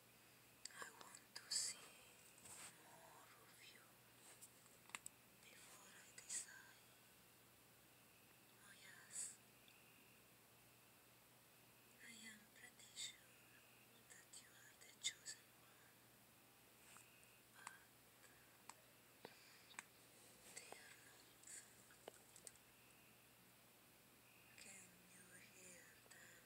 I want to see more of you before I decide. Oh, yes, I am pretty sure that you are the chosen one, Can you hear them?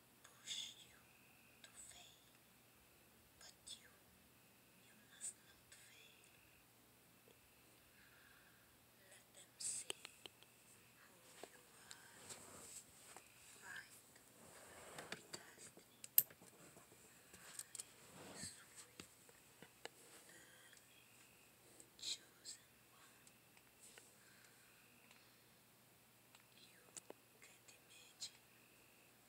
push you to fail, but you, you must not fail. Let them see who you are, fight for destiny. My sweet, chosen one. You can't imagine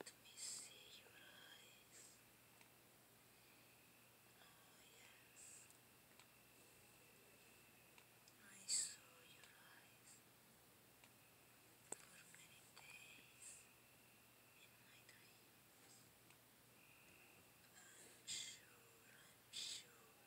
Let me see your eyes. Oh, yes. I saw your eyes for many days in my dreams. I'm sure, I'm sure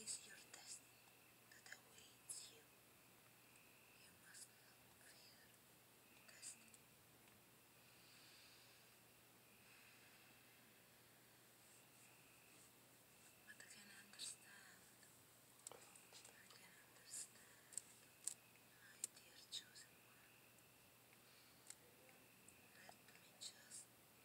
is your destiny that awaits you. You must not destiny. But I can understand. I can understand, my dear chosen one. Let me just help you.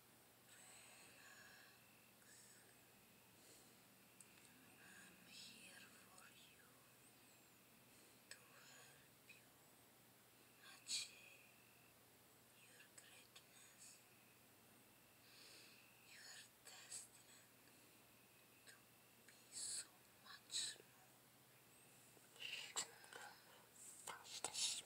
I'm here for you to help you achieve your greatness. You are to be so much more. Just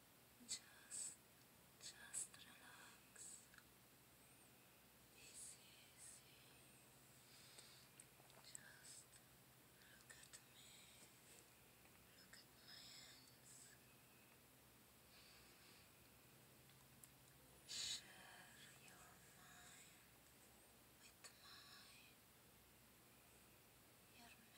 Just, just relax. It's Just look at me. Look at my hands. Share your mind with mine. Your memory.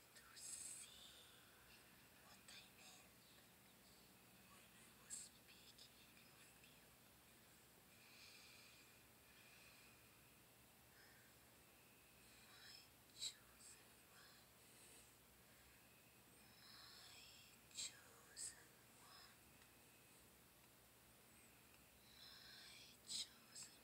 to see what I meant when I was speaking of you. My chosen one, my chosen one, my chosen one.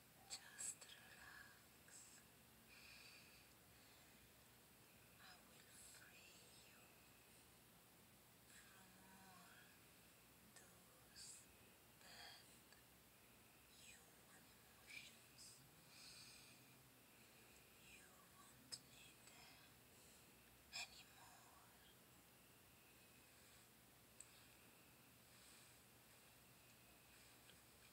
Just relax. I will free you from all those bad emotions. You won't need them anymore.